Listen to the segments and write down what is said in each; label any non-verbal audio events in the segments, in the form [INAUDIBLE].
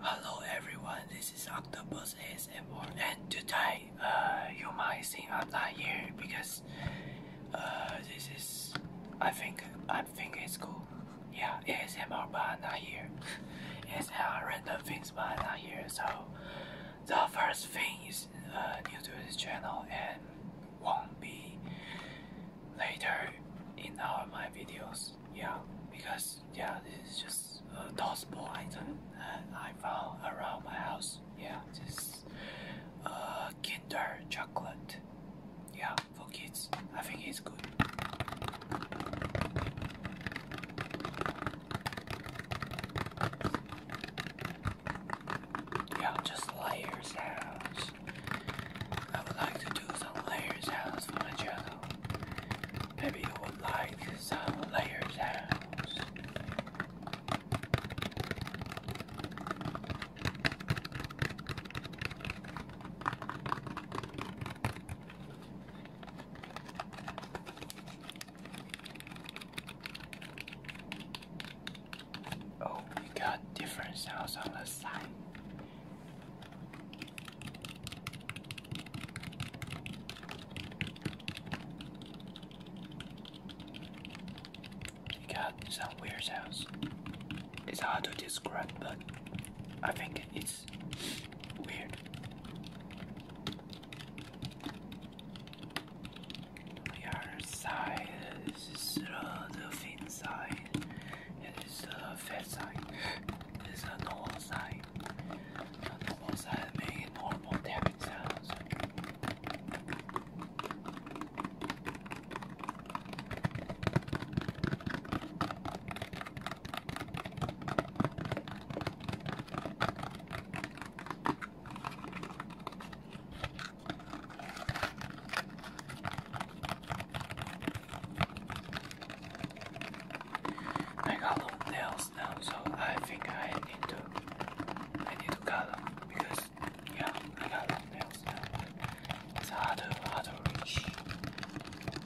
Hello everyone, this is Octopus ASMR and today uh, you might see I'm not here because uh, this is, I think, I think it's cool. Yeah, ASMR but I'm not here. ASMR [LAUGHS] random things but not here. So the first thing is uh, new to this channel and won't be later in all my videos yeah, because yeah, this is just uh, a tossable item that I found around my house. Yeah, this uh, Kinder chocolate. Yeah, for kids, I think it's good. Yeah, just layers sounds. I would like to do some layer sounds for my channel. Maybe you would like some layer sounds. Oh, we got different sounds on the side. We got some weird sounds. It's hard to describe, but I think it's weird. other side, this is the thin side. It is a fat sign. It is a normal sign. A normal sign means normal tapping sounds. I got long nails now, so I think I need to I need to cut them because yeah, I got long nails now. It's harder, to reach.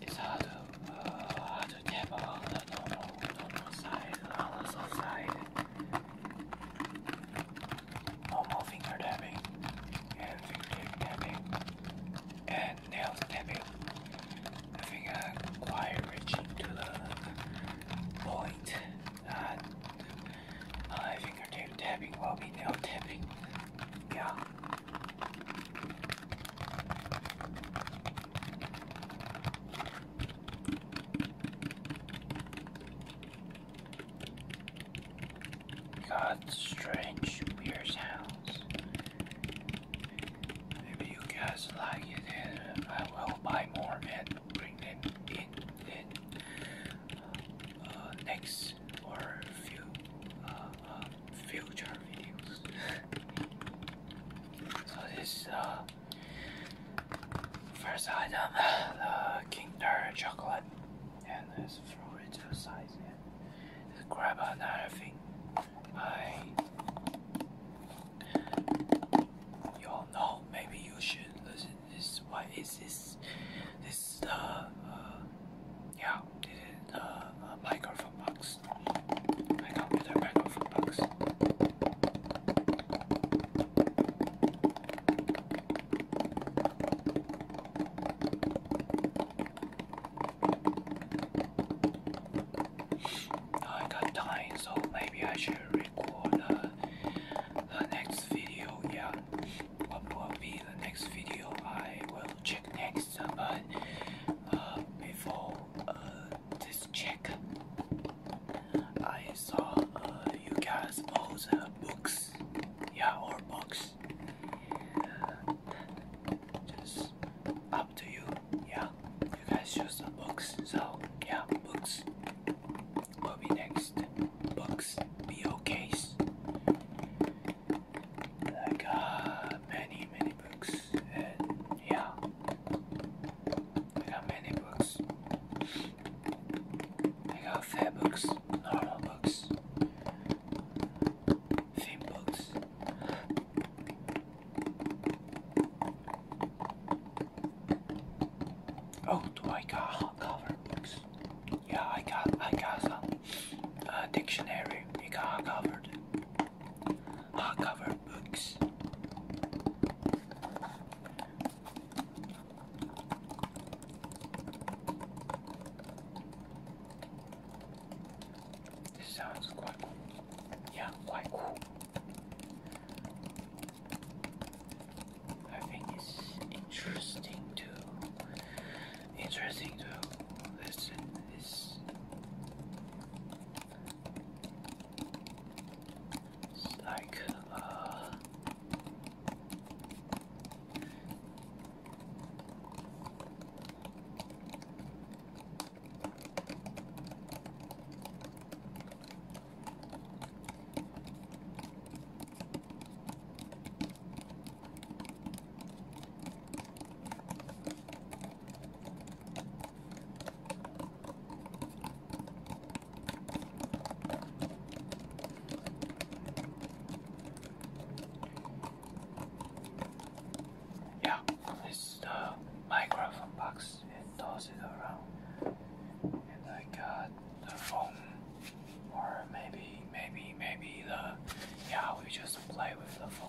It's harder, to uh, to tap on the normal normal side on the soft side normal finger tapping, and fingertip tapping, and nail tapping. I think quite reaching to the point that uh, fingertip tapping will be nail tapping. Yeah. Got strange weird sounds. If you guys like it, I will buy more and bring them in in uh, next or few uh, uh, future videos. so this first item, the Kinder chocolate and let's throw it to the side and grab another thing. I you all know maybe you should listen this what is this this uh, uh, yeah this is uh, a microphone box my computer microphone box Oh, I got time, so maybe I should record uh, the next video. Yeah, what will be the next video? I will check next, uh, but uh, before uh, this check, I saw you guys post uh, books. Yeah, or box. just up to you. Yeah, you guys choose a box. So yeah, books will be next. Books, BOKs. Like uh, many, many books. And yeah, I got many books. I got fair books, normal books, thin books. Oh, do I got hardcover books? Yeah, I got I got some uh, dictionary. You got hardcover, hardcover books. This sounds quite Yeah, quite cool. I think it's interesting to interesting to listen this like uh, yeah, it's the uh, microphone box. It tosses around, and I got the phone, or maybe, maybe, maybe the yeah. We just play with the phone.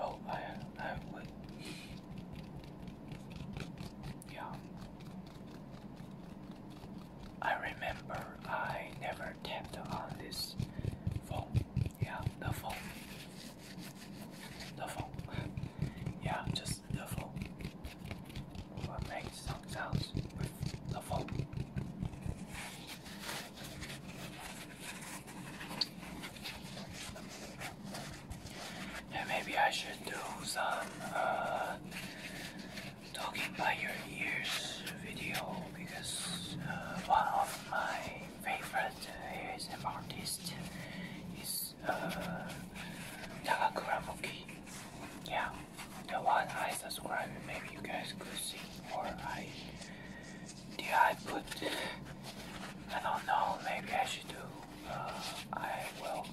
Oh, I, I would. Yeah. I remember I never tapped on this phone. Yeah, the phone. The phone, Yeah, just duffel. We'll make some sounds with duffel. Yeah, maybe I should do some uh, talking by your ears video because uh, one of my favorite is ASM artist is uh, Takakura Yeah, the one I subscribe. Maybe you guys could see, or I did I put? I don't know. Maybe I should do. Uh, I will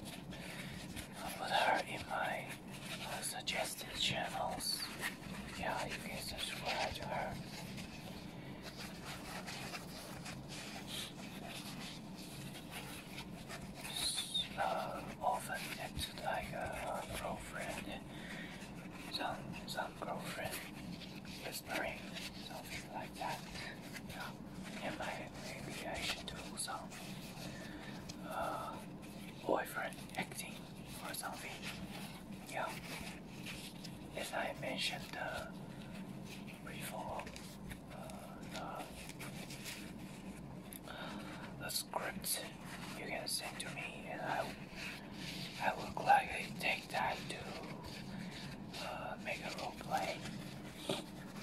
put her in my uh, suggested channels. Yeah, you can subscribe to her. Uh, often it's like a, girlfriend, some some girlfriend whispering, something like that. Yeah, and maybe I should do uh, boyfriend acting or something yeah, as I mentioned uh, before, the, uh, uh, the script you can send to me, and I, I will gladly take time to make a role play.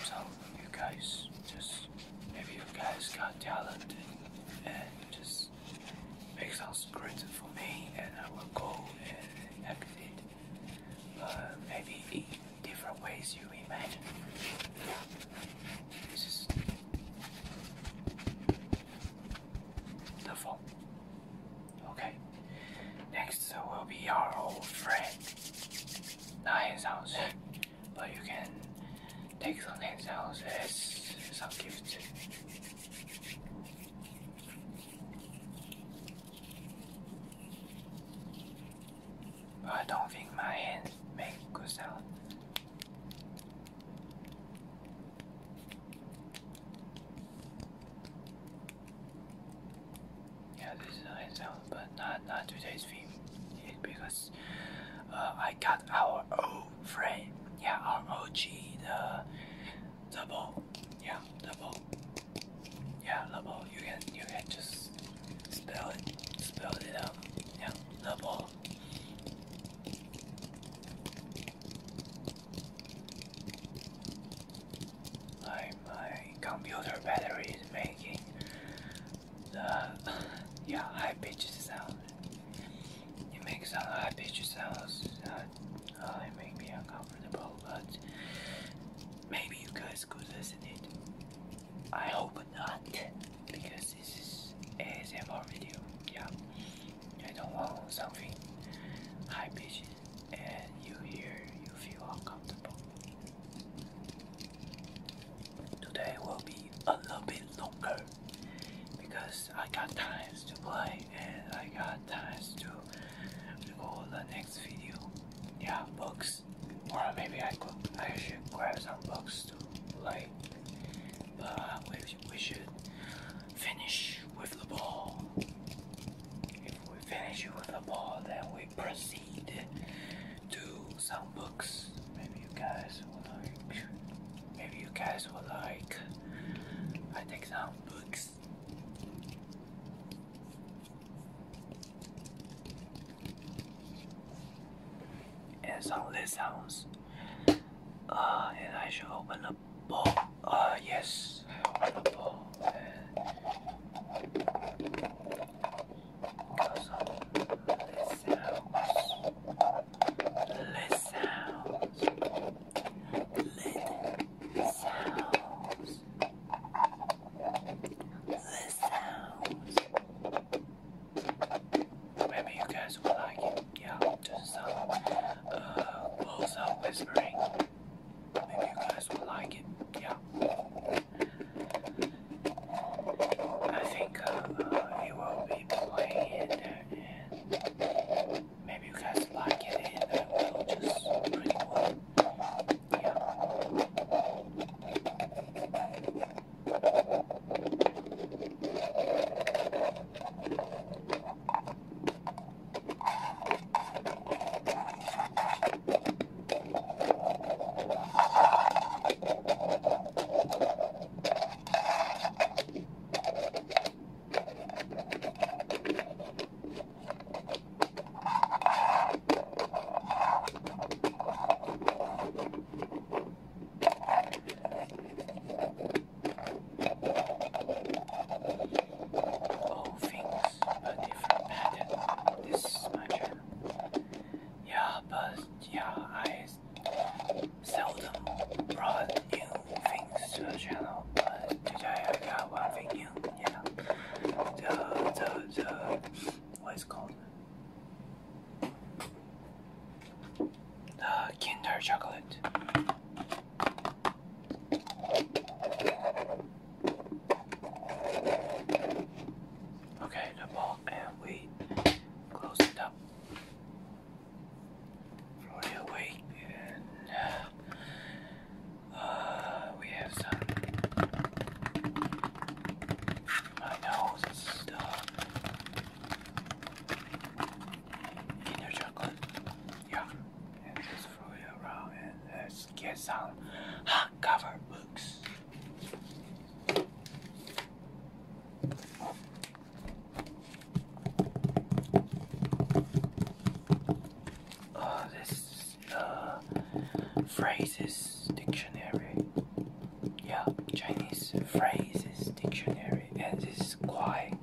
So you guys just, maybe you guys got talent and just sounds it sounds for me and I will go and act it maybe different ways you imagine. This is the phone. Okay. Next uh, will be our old friend. Nine sounds, but you can take some nine sounds as some gift. I don't think my hands make good sound. Yeah, this is nice sound, but not not today's theme, because uh, I got our own frame. Yeah, ROG the the ball. Yeah, double, Yeah, the You can you can just spell it spell it out. Yeah, double. My my computer battery is making the [LAUGHS] yeah high pitched sound. It makes a lot of bitch sounds it make me uncomfortable, but maybe you guys could listen it. I hope not, because this is a ASMR video. Yeah, I don't want something high pitched and you hear you feel uncomfortable. Today will be a little bit longer because I got times to play and I got times to record the next video. Yeah, books. Or maybe I could I should grab some books to play. But we should finish with the ball. If we finish with the ball, then we proceed to some books. Maybe you guys will like. Maybe you guys will like. I take some books. And some lid sounds. Uh, and I should open the bowl. Uh, yes, Lid sounds. Lid sounds. Lid sounds. Maybe you guys will like it. Yeah, just some uh, also whispering. Maybe you guys will like it. Yeah. I think think uh, will be playing and maybe you guys like it and I will just pretty well. Yeah. All oh, things a different pattern. This is my channel. Yeah, but yeah, I seldom brought new things to the channel, but today I got one thing new. Yeah, the the what's called the Kinder chocolate. Okay, the ball, and we close it up. Floating away, and uh, we have some. I know this inner chocolate. Yeah, and just float around and let's get some hardcover books. Uh, this uh, phrases dictionary. Yeah, Chinese phrases dictionary, and this is quite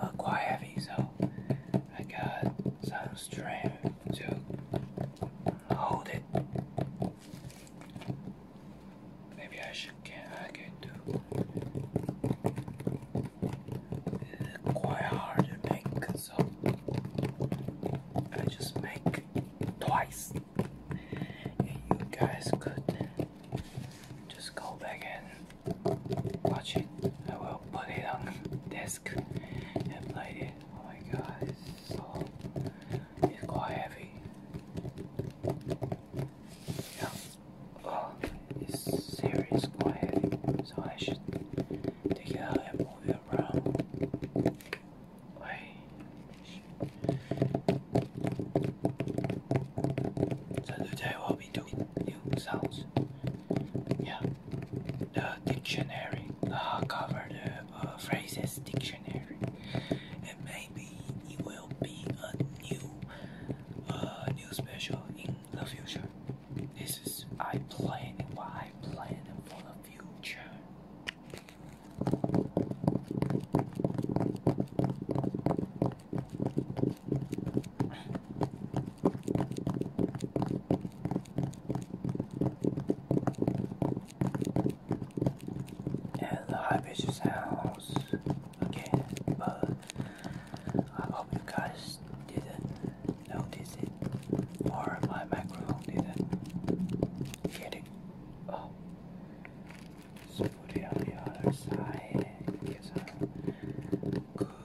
uh, quite heavy, so I got some strength to hold it. Maybe I should get I get to quite hard make, so I just make twice. And you guys could just go back and watch it. I will put it on desk and play it. Oh my god, it's quite heavy. Yeah. Oh, this series quite heavy, so I should take it out and move it around. Wait. So today we'll be doing new sounds. Yeah. The dictionary uh, cover the uh, phrases dictionary, and maybe it will be a new, uh, new special in the future. This is I plan. what I plan for the future and the high pitched sounds again, but I hope you guys didn't notice it or my microphone didn't get it. Oh. So put it on the other side and get some good sounds.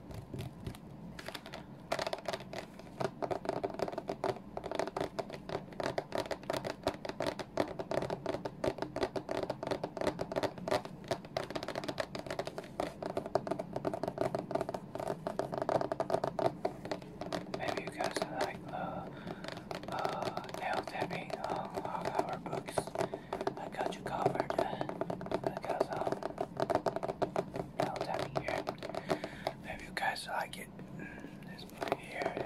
Maybe you guys like the uh, nail uh, tapping uh, on our books. I got you covered uh, because um, I'll tap here. Maybe you guys like it. Mm, let's put it here.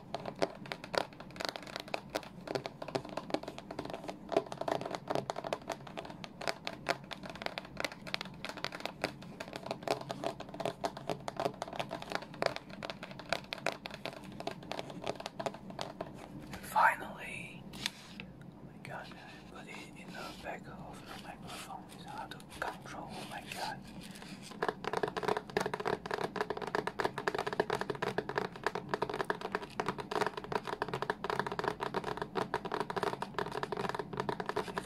Finally, oh my god, I put it in the back of the microphone. It's hard control. Oh my god.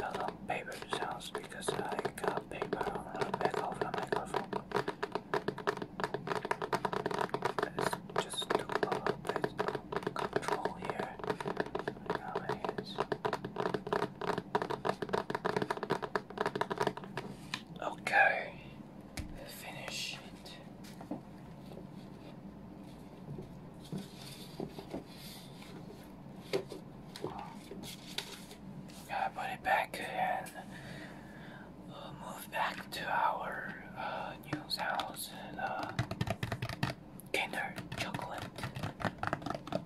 I paper sounds because I got paper on the back of the microphone. just control here. my hands. Okay, finish it. I put it back and move back to our uh, house, the uh, Kinder Chocolate. We will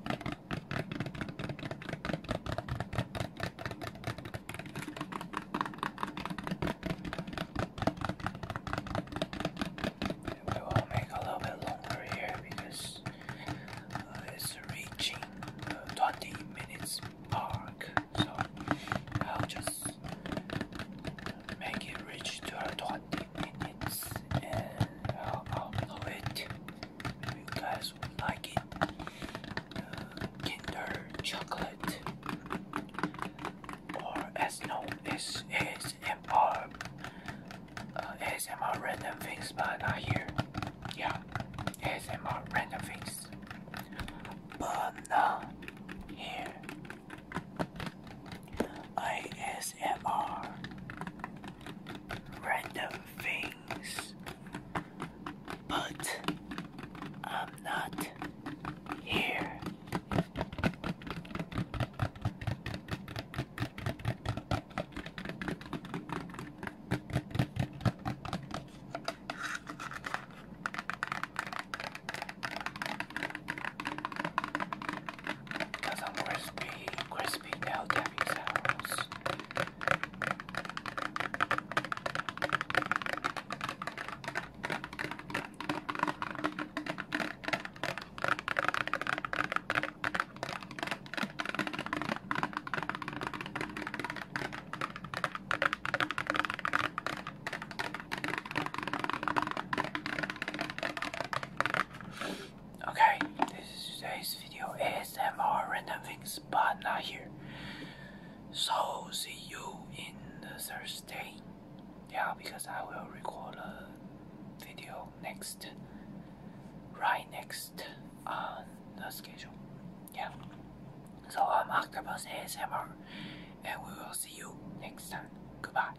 make a little bit longer here because uh, it's reaching 20 minutes mark. So I'll just make it reach to 20 minutes and I'll upload it. Maybe you guys would like it. Uh, Kinder chocolate, or as uh, random things, but not here. Yeah, ASMR random things, but not here. ASMR random things, but I'm not here. Got some crispy, crispy now, tapping sounds. Okay, this is today's video ASMR random things, but not here. So see you in the Thursday. Yeah, because I will record a video next, right next on the schedule. Yeah. So I'm Octopus ASMR, and we will see you next time. Goodbye.